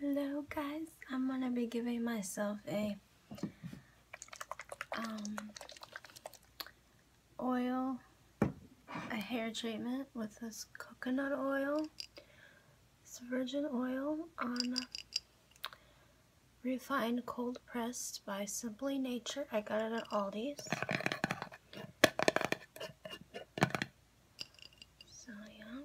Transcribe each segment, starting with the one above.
Hello guys, I'm gonna be giving myself a um, oil, a hair treatment with this coconut oil, this virgin oil on refined cold pressed by Simply Nature. I got it at Aldi's. So yeah.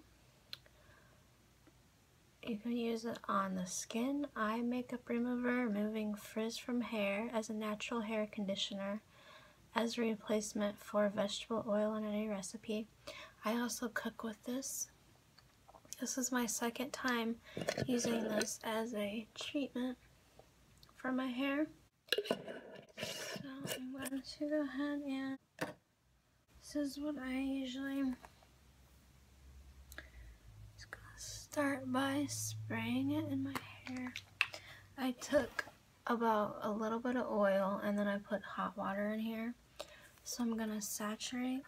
You can use it on the skin, eye makeup remover, removing frizz from hair as a natural hair conditioner, as a replacement for vegetable oil in any recipe. I also cook with this. This is my second time using this as a treatment for my hair. So I'm going to go ahead and this is what I usually start by spraying it in my hair. I took about a little bit of oil and then I put hot water in here. So I'm gonna saturate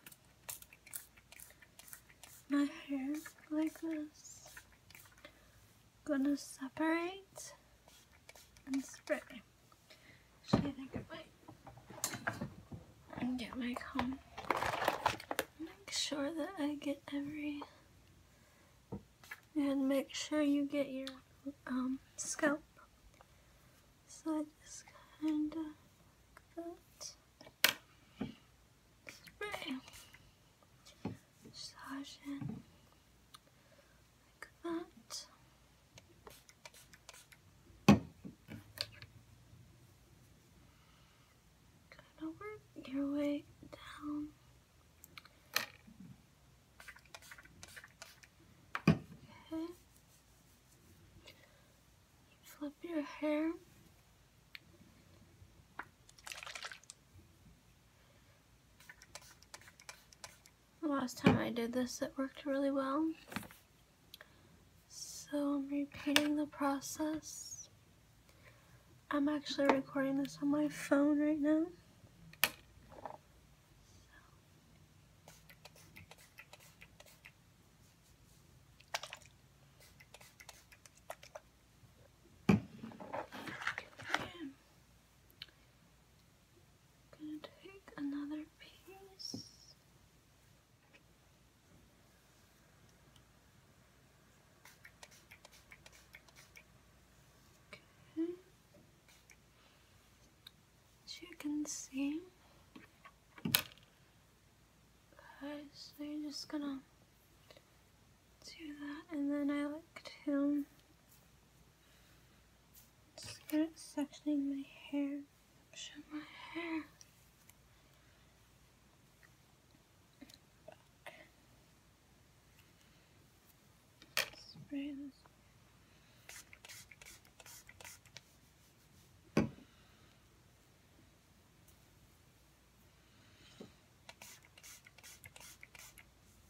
my hair like this gonna separate and spray. Actually, I think I might get my comb. Make sure that I get every. And make sure you get your um, scalp. So I just kind of Spray. Massage like that. Kind of work your way down. Okay. Flip your hair the last time I did this, it worked really well. So I'm repeating the process. I'm actually recording this on my phone right now. Gonna take another piece. Okay. As you can see, guys, so you're just gonna do that and then I like to start sectioning my hair, my hair. Spray this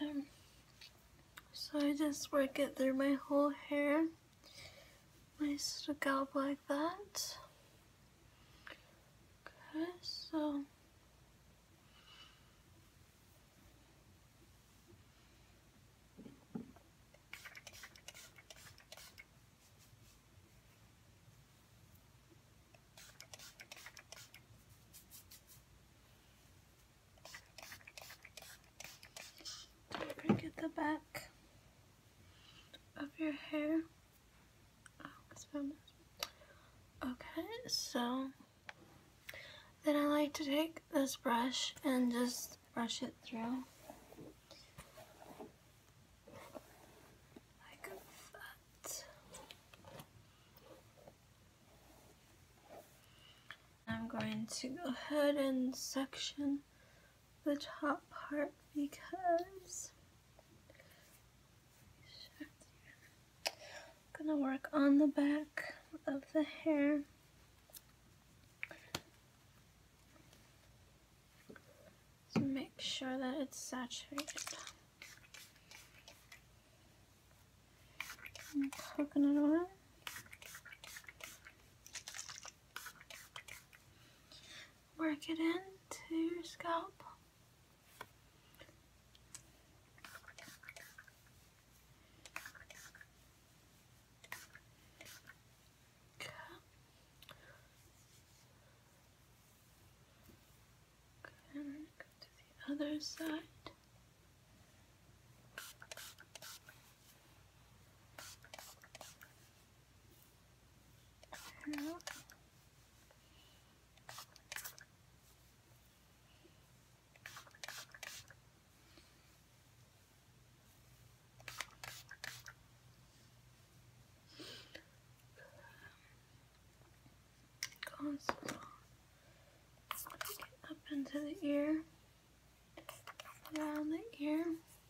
Um, so I just work it through my whole hair, my scalp like that. Okay, so bring the back of your hair Okay, so then I like to take this brush and just brush it through. Like that. I'm going to go ahead and section the top part because I'm gonna work on the back of the hair. to make sure that it's saturated. And coconut oil work it into your scalp. Okay. Good. Go to the other side through. Goes up into the ear, around the ear.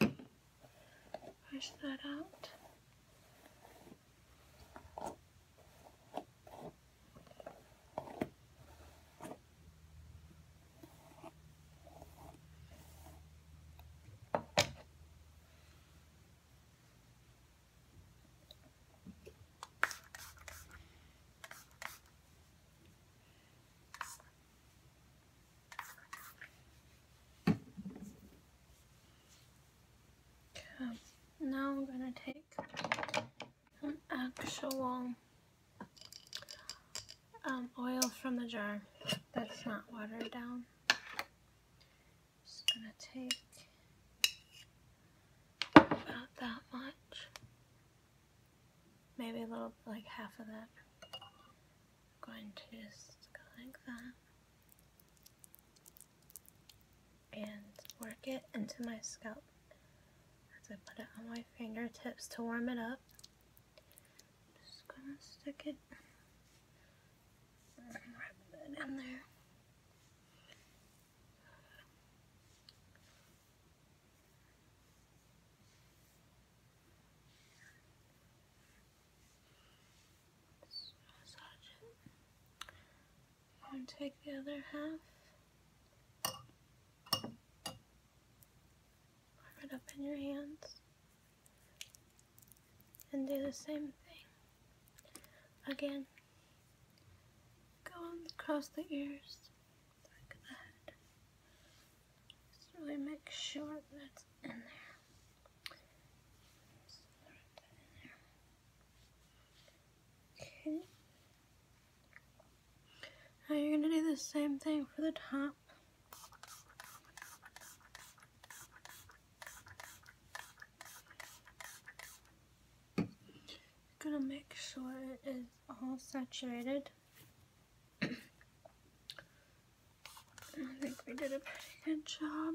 Connor. Push that out now I'm gonna take an actual um, oil from the jar that's not watered down just going to take about that much. Maybe a little, like half of that. I'm going to just go like that. And work it into my scalp as I put it on my fingertips to warm it up. just going to stick it and wrap it in there. And take the other half. Warm it up in your hands. And do the same thing. Again, go across the ears, back of Just really make sure that's in in there. Okay. Now you're going to do the same thing for the top. I'm gonna make sure it is all saturated. I think we did a pretty good job.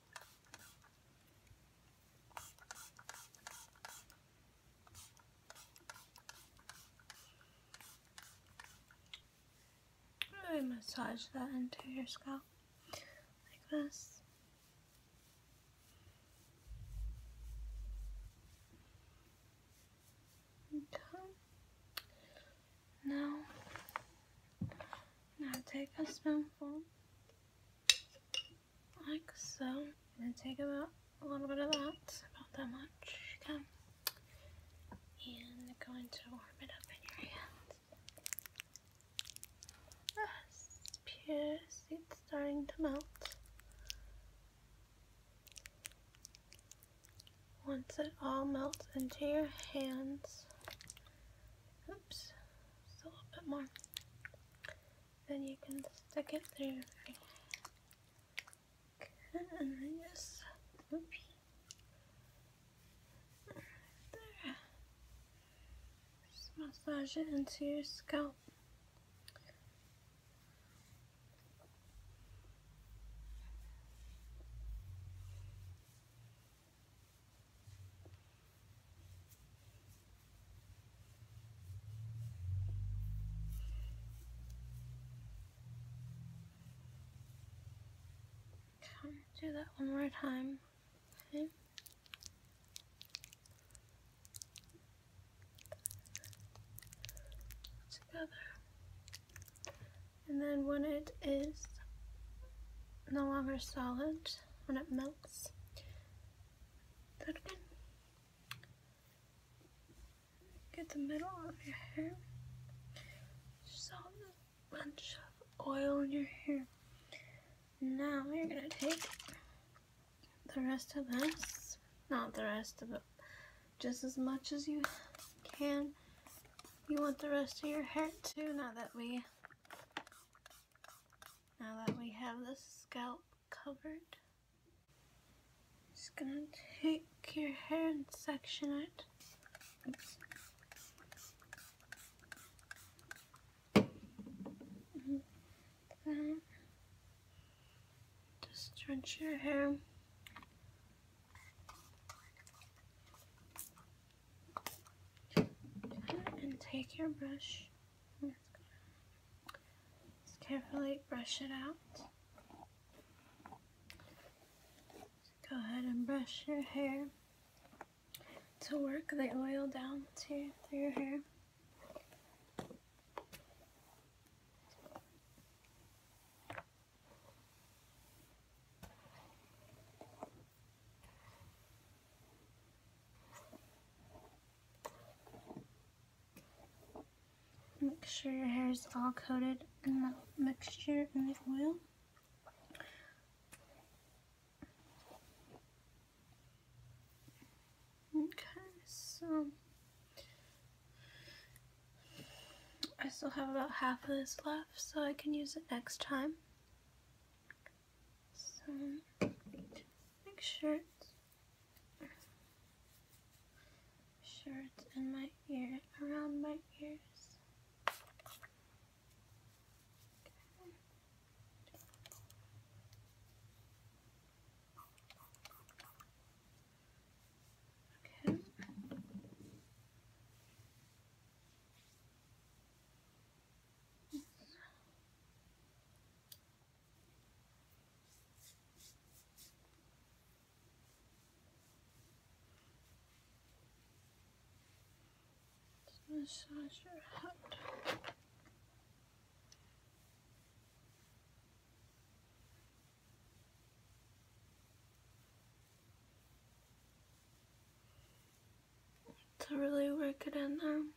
I massage that into your scalp like this. Okay. now take a spoonful like so. And take about a little bit of that, about that much. And I'm going to warm it up in your hands. Yes, pierce, it's starting to melt. Once it all melts into your hands, Oops, a little bit more. Then you can stick it through. and then just, oops. There. Just massage it into your scalp. Okay, do that one more time. Okay. Together. And then when it is no longer solid, when it melts. Get the middle of your hair. Just a bunch of oil in your hair. Now you're gonna take the rest of this, not the rest of it, just as much as you can. You want the rest of your hair too, now that we now that we have the scalp covered, just gonna take your hair and section it. Oops. Mm-hmm. just drench your hair and take your brush carefully brush it out. go ahead and brush your hair to work the oil down to through your hair. Make sure your hair is all coated in the mixture and the oil. Okay, so I still have about half of this left so I can use it next time. So make sure it's, sure it's in my ear, around my ears. Okay massage your head to really work it in there. Um,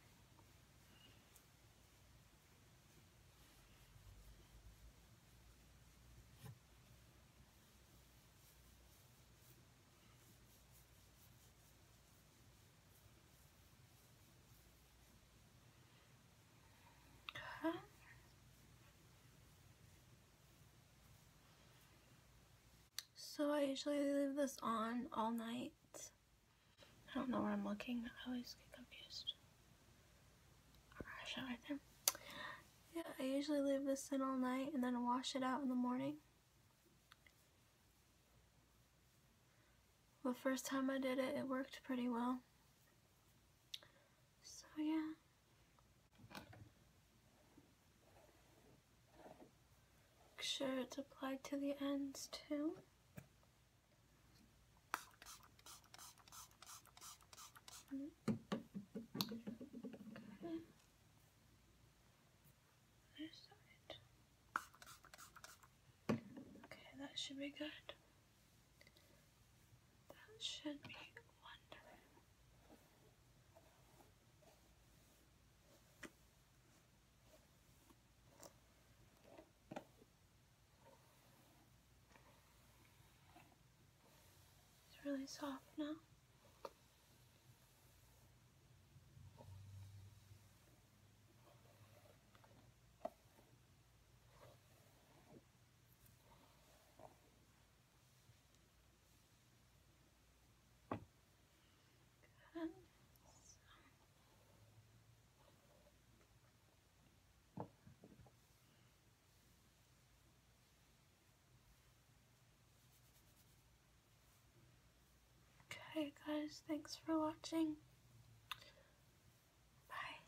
so I usually leave this on all night. I don't know where I'm looking. I always get confused. right there. Yeah, I usually leave this in all night and then wash it out in the morning. The first time I did it, it worked pretty well. So yeah. Make sure it's applied to the ends too. Okay. Mm-hmm. Okay, that should be good. That should be it's really soft now. Okay guys, thanks for watching. Bye.